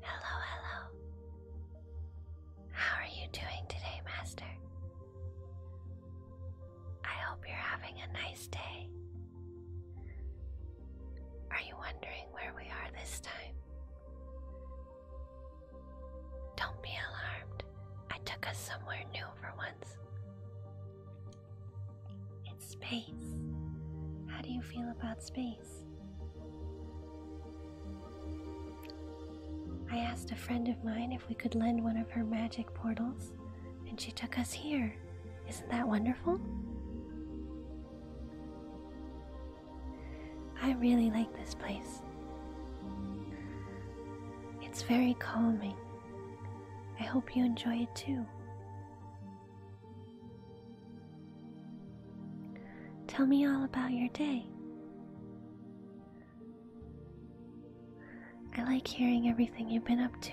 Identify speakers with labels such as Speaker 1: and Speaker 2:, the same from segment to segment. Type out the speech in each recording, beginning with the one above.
Speaker 1: Hello, hello. How are you doing today, Master? I hope you're having a nice day. Are you wondering where we are this time? Don't be alarmed. I took us somewhere new for once. It's space. How do you feel about space? I asked a friend of mine if we could lend one of her magic portals, and she took us here. Isn't that wonderful? I really like this place. It's very calming. I hope you enjoy it too. Tell me all about your day. I like hearing everything you've been up to.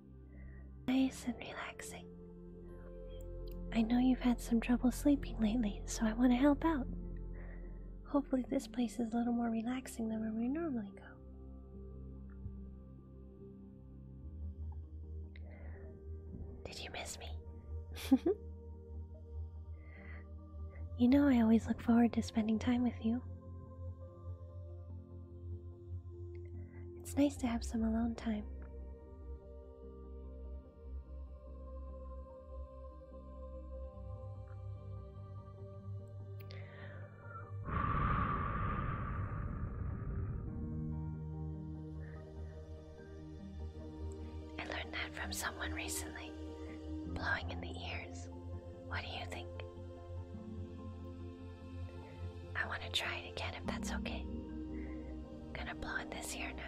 Speaker 1: Nice and relaxing. I know you've had some trouble sleeping lately, so I want to help out. Hopefully, this place is a little more relaxing than where we normally go. Did you miss me? you know, I always look forward to spending time with you. It's nice to have some alone time. I learned that from someone recently. Blowing in the ears. What do you think? I want to try it again if that's okay. I'm gonna blow in this here now.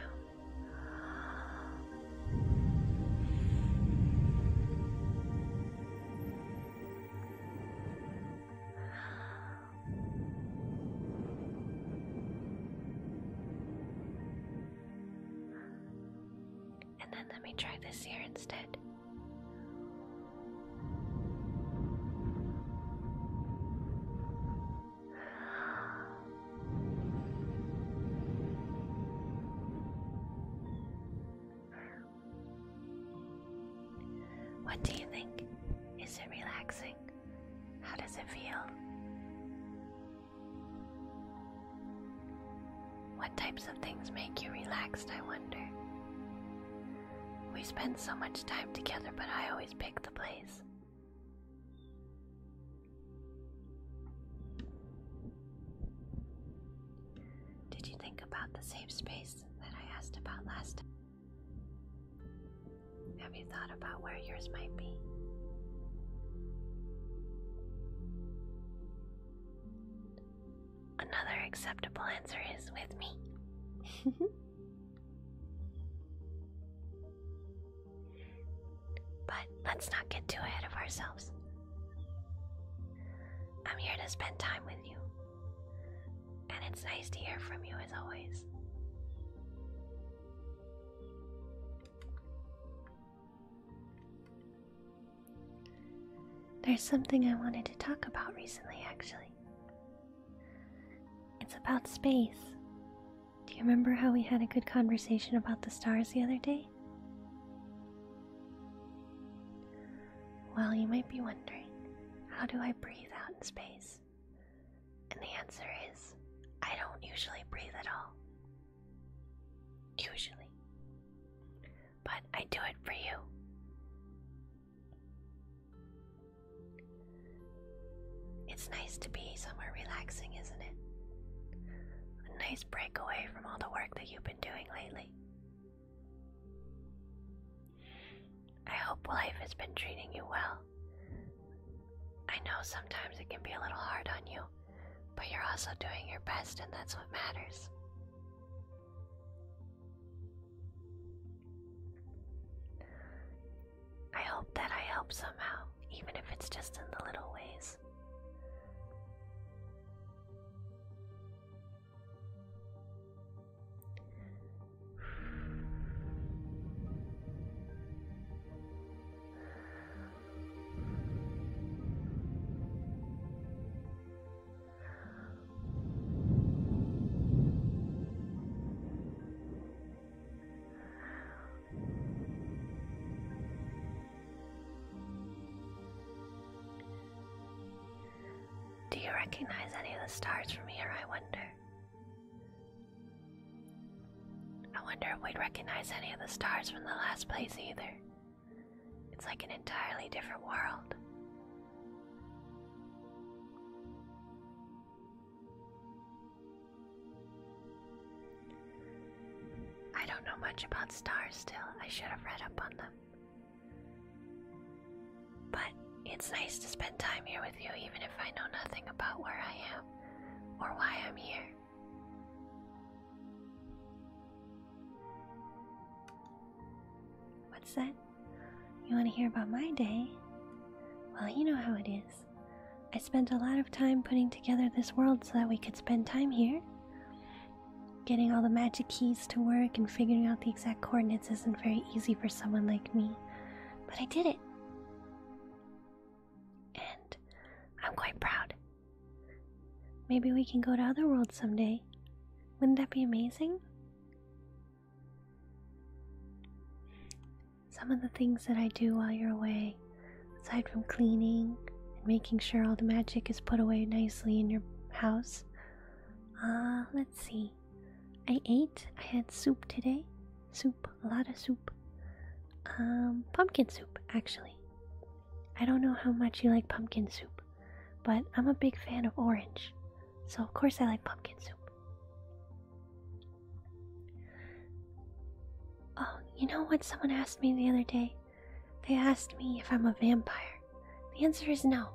Speaker 1: And then let me try this here instead. What do you think? Is it relaxing? How does it feel? What types of things make you relaxed, I wonder? We spend so much time together, but I always pick the place. Did you think about the safe space that I asked about last time? Have you thought about where yours might be? Another acceptable answer is with me. but let's not get too ahead of ourselves. I'm here to spend time with you. And it's nice to hear from you as always. There's something I wanted to talk about recently, actually. It's about space. Do you remember how we had a good conversation about the stars the other day? Well, you might be wondering, how do I breathe out in space? And the answer is, I don't usually breathe at all. Usually. But I do it for you. It's nice to be somewhere relaxing, isn't it? A nice break away from all the work that you've been doing lately. I hope life has been treating you well. I know sometimes it can be a little hard on you, but you're also doing your best, and that's what matters. I hope that I help somehow, even if it's just in the little ways. Do you recognize any of the stars from here? I wonder. I wonder if we'd recognize any of the stars from the last place either. It's like an entirely different world. I don't know much about stars still. I should have read up on them. But it's nice to spend time here with you, even if I know nothing about where I am or why I'm here. What's that? You want to hear about my day? Well, you know how it is. I spent a lot of time putting together this world so that we could spend time here. Getting all the magic keys to work and figuring out the exact coordinates isn't very easy for someone like me, but I did it. And I'm quite proud. Maybe we can go to other worlds someday. Wouldn't that be amazing? Some of the things that I do while you're away, aside from cleaning and making sure all the magic is put away nicely in your house, uh, let's see. I ate, I had soup today. Soup, a lot of soup. Um, pumpkin soup, actually. I don't know how much you like pumpkin soup, but I'm a big fan of orange. So, of course, I like pumpkin soup. Oh, you know what someone asked me the other day? They asked me if I'm a vampire. The answer is no.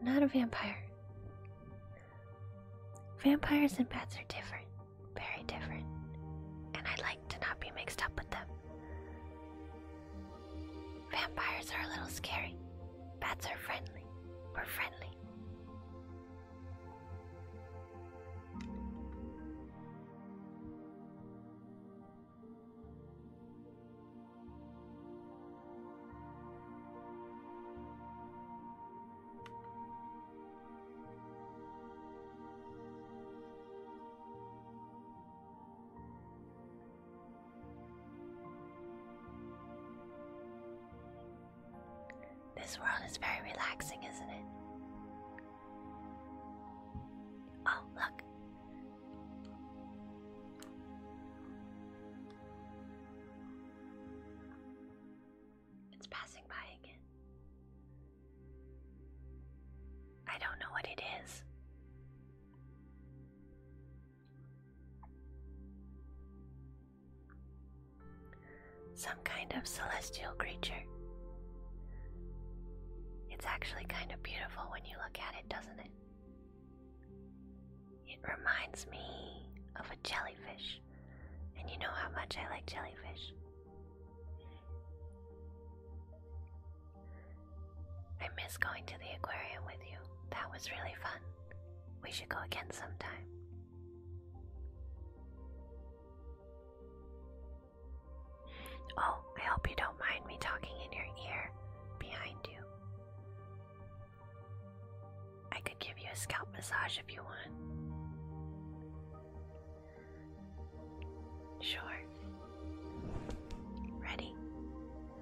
Speaker 1: I'm not a vampire. Vampires and bats are different, very different, and I would like to not be mixed up with them. Vampires are a little scary, Bats are friendly. We're friendly. This world is very relaxing, isn't it? Oh, look. It's passing by again. I don't know what it is. Some kind of celestial creature. It's actually kind of beautiful when you look at it, doesn't it? It reminds me of a jellyfish, and you know how much I like jellyfish. I miss going to the aquarium with you. That was really fun. We should go again sometime. Oh, I hope you don't mind me talking in your ear behind you. I could give you a scalp massage if you want. Sure. Ready?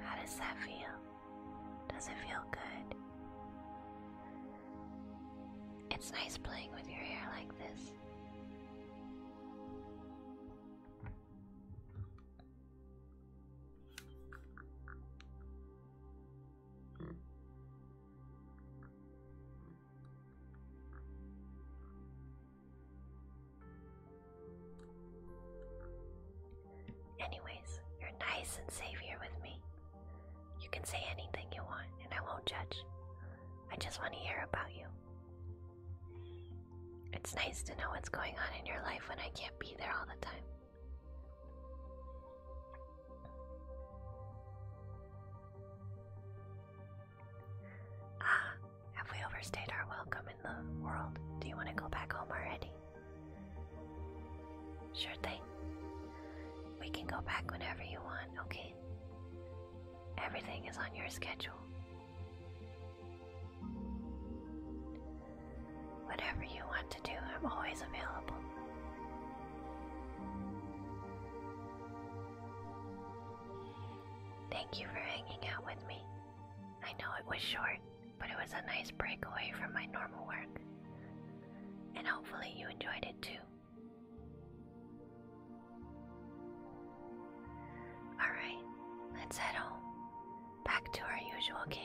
Speaker 1: How does that feel? Does it feel good? It's nice playing with your hair like this. Anyways, you're nice and safe here with me. You can say anything you want, and I won't judge. I just want to hear about you. It's nice to know what's going on in your life when I can't be there all the time. Ah, have we overstayed our welcome in the world? Do you want to go back home already? Sure thing. We can go back whenever you want, okay? Everything is on your schedule. Whatever you want to do, I'm always available. Thank you for hanging out with me. I know it was short, but it was a nice break away from my normal work. And hopefully you enjoyed it too. Alright, let's head home. Back to our usual cave.